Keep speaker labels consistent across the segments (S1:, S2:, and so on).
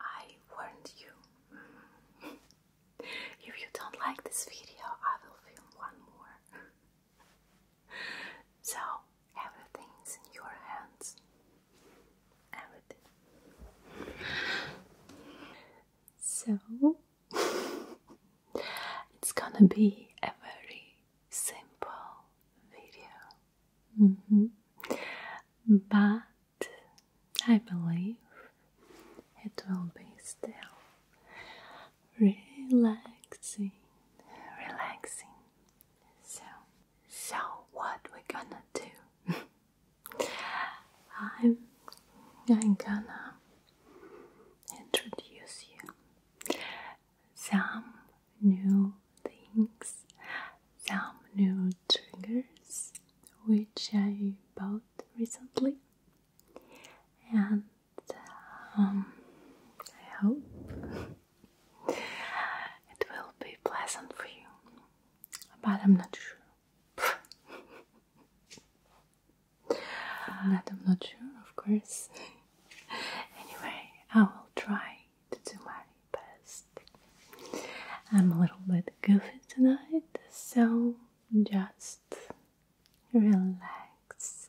S1: I warned you. Mm. if you don't like this video, I will film one more. so, everything in your hands. Everything. So, it's gonna be a very simple video. Mm-hmm. But I believe it will be still relaxing, relaxing. So, so what we gonna do? I'm, I'm gonna introduce you some new things some new triggers which I bought recently, and um, I hope it will be pleasant for you, but I'm not sure. but I'm not sure, of course. anyway, I will try to do my best. I'm a little bit goofy tonight, so just relax.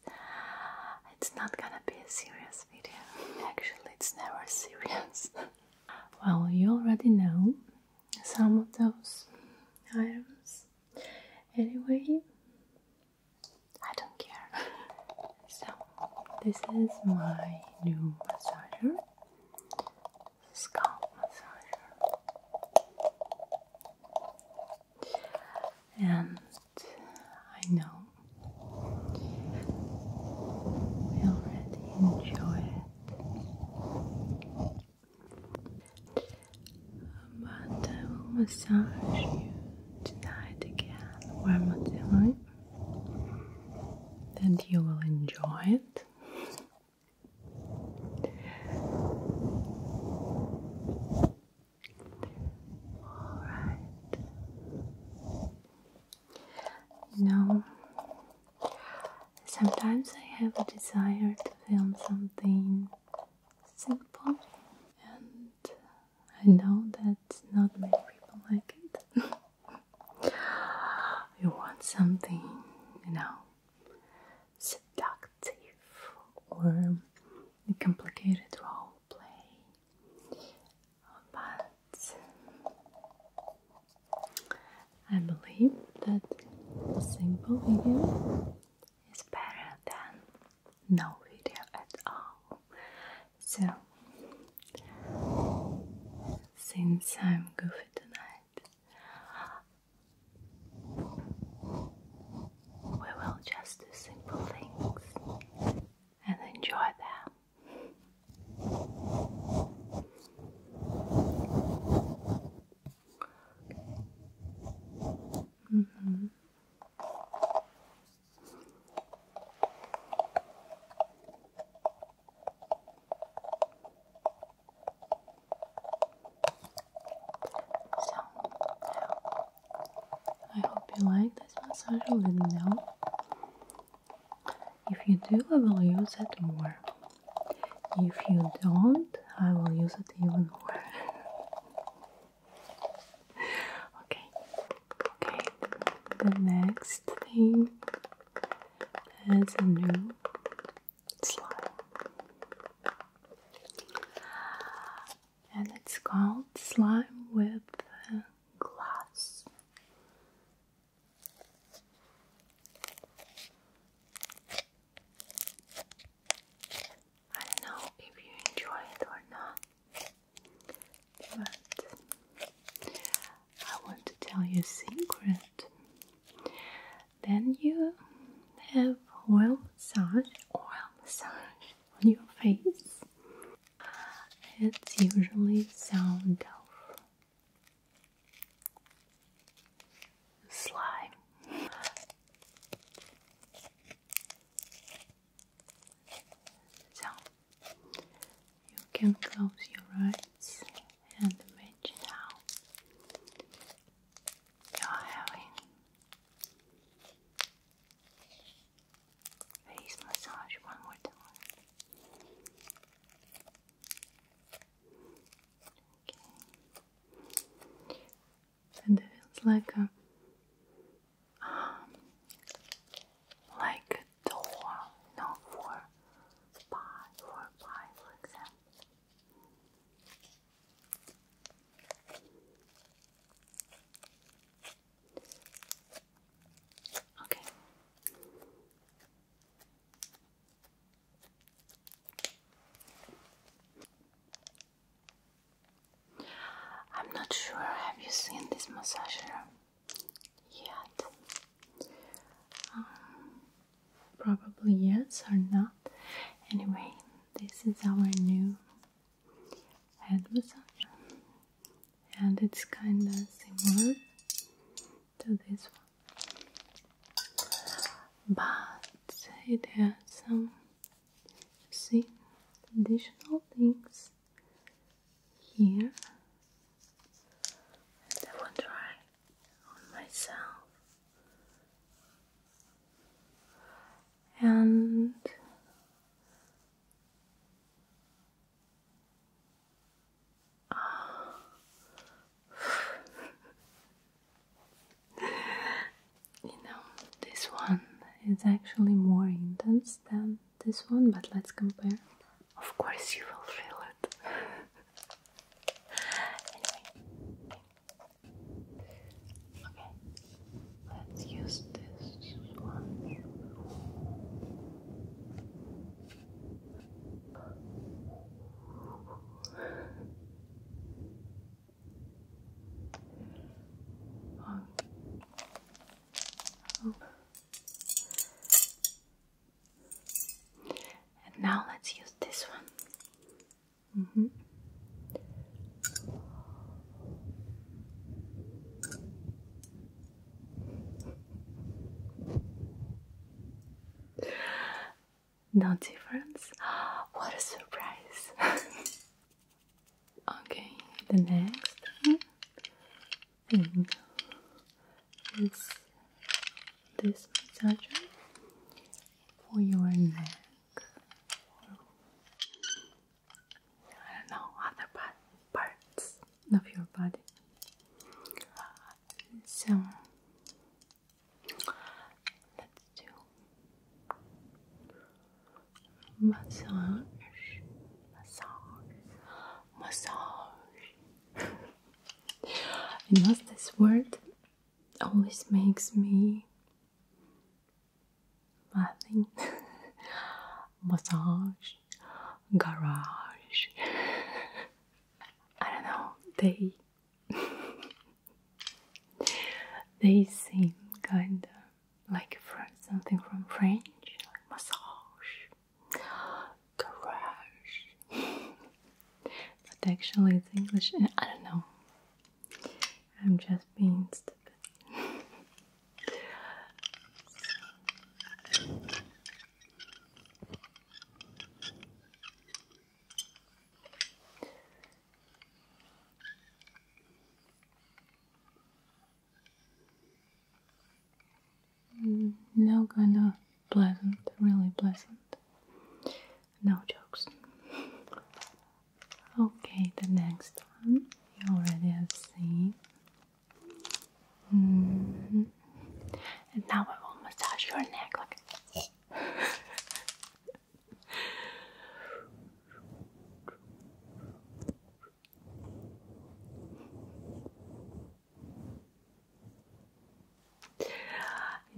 S1: It's not gonna be a serious video. Actually, it's never serious. well, you already know some of those items. Anyway, I don't care. so, this is my new massager scalp massager. And I know we already enjoy it, but I will massage you tonight again where Matilda and you will enjoy it. All right. Now, sometimes I have a desire to film something simple, and I know that not many people like it. You want something, you know, seductive or complicated role play, but I believe that simple video is better than no video at all. So, since I'm goofy tonight, we will just do simple things and enjoy them. Mm -hmm. So, I hope you like this massage. Let me know. If you do, I will use it more. If you don't, I will use it even more. okay, Okay, the next thing is a new slime. And it's called slime with glass. I don't know if you enjoy it or not. But I want to tell you a secret. Then you have oil massage, oil massage on your face. It's usually sound of slime. Sound you can close your eyes and imagine how you're having face massage one more time. Okay. And it feels like a um, like door, no, for for example. Okay. I'm not sure. Have you seen this massager? yet. Um, probably yes or not. Anyway, this is our new head massage, and it's kind of similar to this one, but it has some, you see, additional things here, and I will try on myself. And you know, this one is actually more intense than this one, but let's compare. Of course, you will feel it. anyway, okay, let's use this one. And now let's use this one. Mm-hmm. No difference? What a surprise! Okay, the next thing is this massager for your neck. I don't know other parts of your body. So let's do massage, massage, massage. and what's this word? Always makes me laughing. massage, garage. I don't know. They they seem kinda like something from French, massage, garage. but actually, it's English. I don't know. I'm just being stupid. Mm, no, kind of pleasant, really pleasant. No jokes. okay, the next one you already have seen. Mm-hmm. And now I will massage your neck like.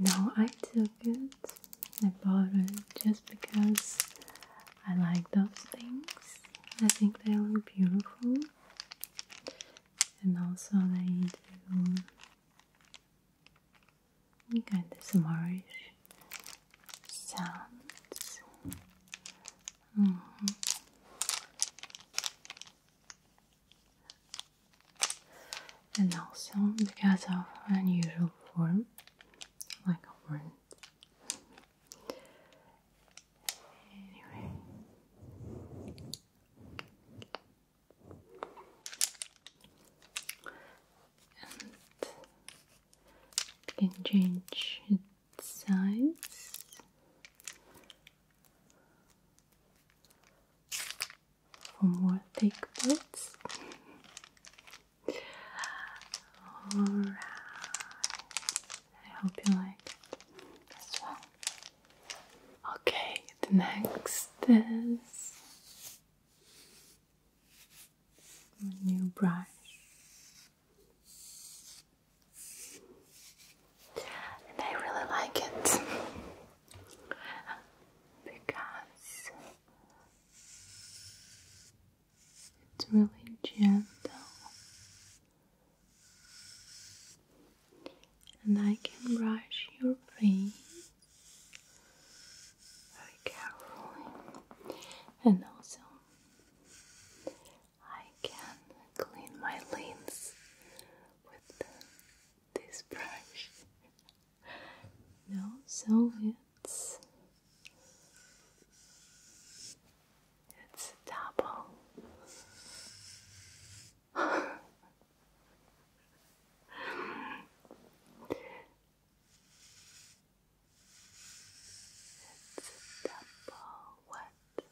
S1: No, I took it. I bought it just because I like those things. I think they look beautiful, and also they do kind this smarish sounds. Mm-hmm. And also because of unusual form, like a Anyway. it can change sides. For more thick bits. Alright. I hope you like it as Okay, the next is a new brush. And I really like it because it's really gentle, and I can brush your face very carefully, and also I can clean my lens with this brush. no, so it's it's double. It's double wet.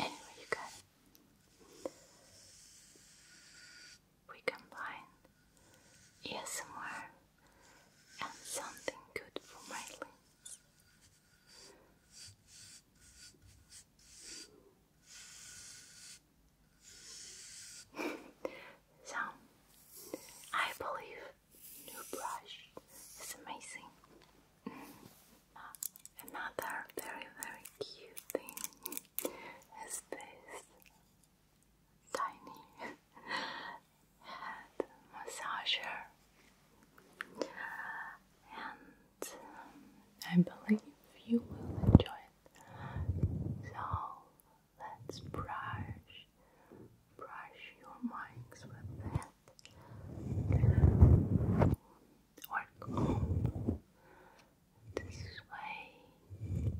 S1: Anyway, you got it. We combine ASMR and something good for my limbs. So, I believe new brush is amazing. Mm. Another very very cute thing is this tiny head massager, and um, I believe you will enjoy it. So let's brush, brush your minds with that. Or comb this way.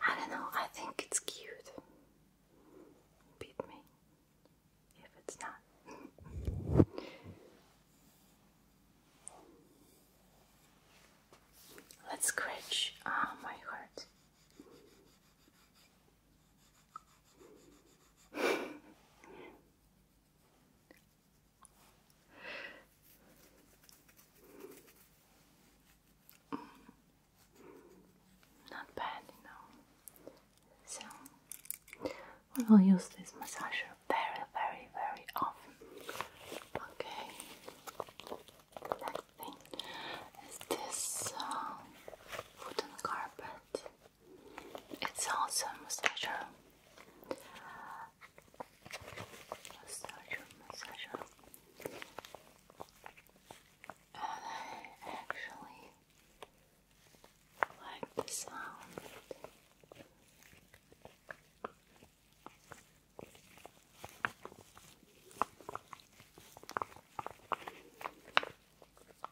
S1: I don't know, I think it's cute. Beat me if it's not. Let's scratch ah, my heart. Mm. Not bad, you know. So, we will use this massager very, very, very often. Okay. Next thing is this uh, wooden carpet. It's awesome massager. Massager, massager. I actually like the sound.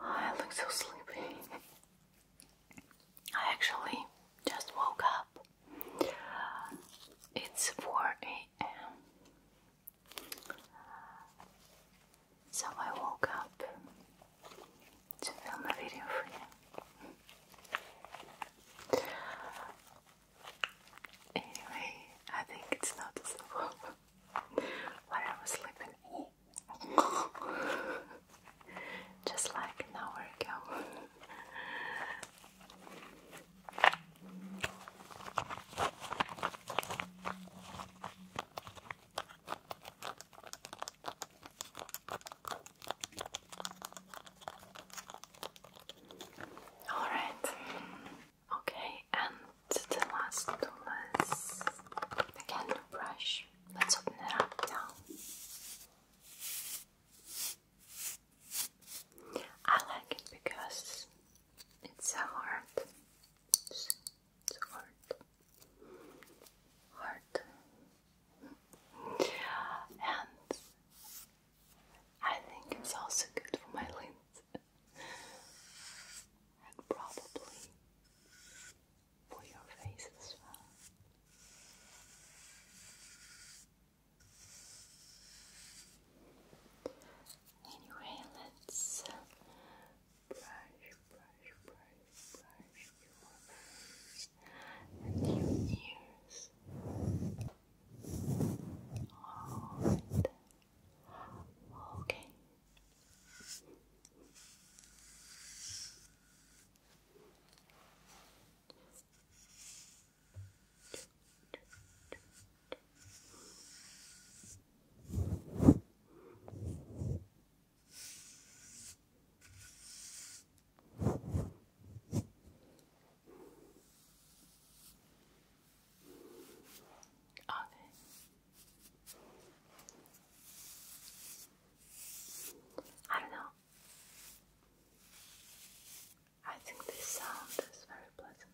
S1: I look so sleepy. I actually just woke up. It's 4 a.m. So I woke up to film a video for you. Anyway, I think it's noticeable when I was sleeping. Just like an hour ago. All right. Okay, and the last tool is the candle brush. Let's open it up now. I like it because it's a It's a heart and I think it's also good for my limbs and probably for your face as well. Anyway, let's brush, brush, brush brush your and your ears. Okay. Are they? I don't know. I think this sound is very pleasant.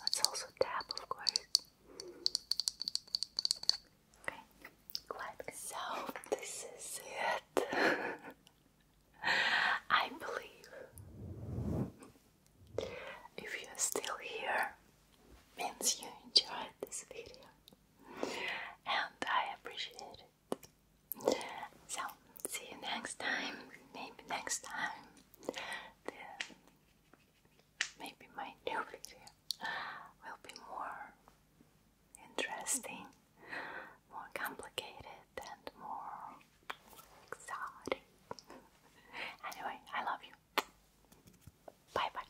S1: Let's also tap, of course. Okay, good. So this is it. I believe if you're still here, means you enjoyed this video and I appreciate it. So, see you next time. Maybe next time, then maybe my new video will be more interesting, more complicated, and more exotic. Anyway, I love you. Bye bye.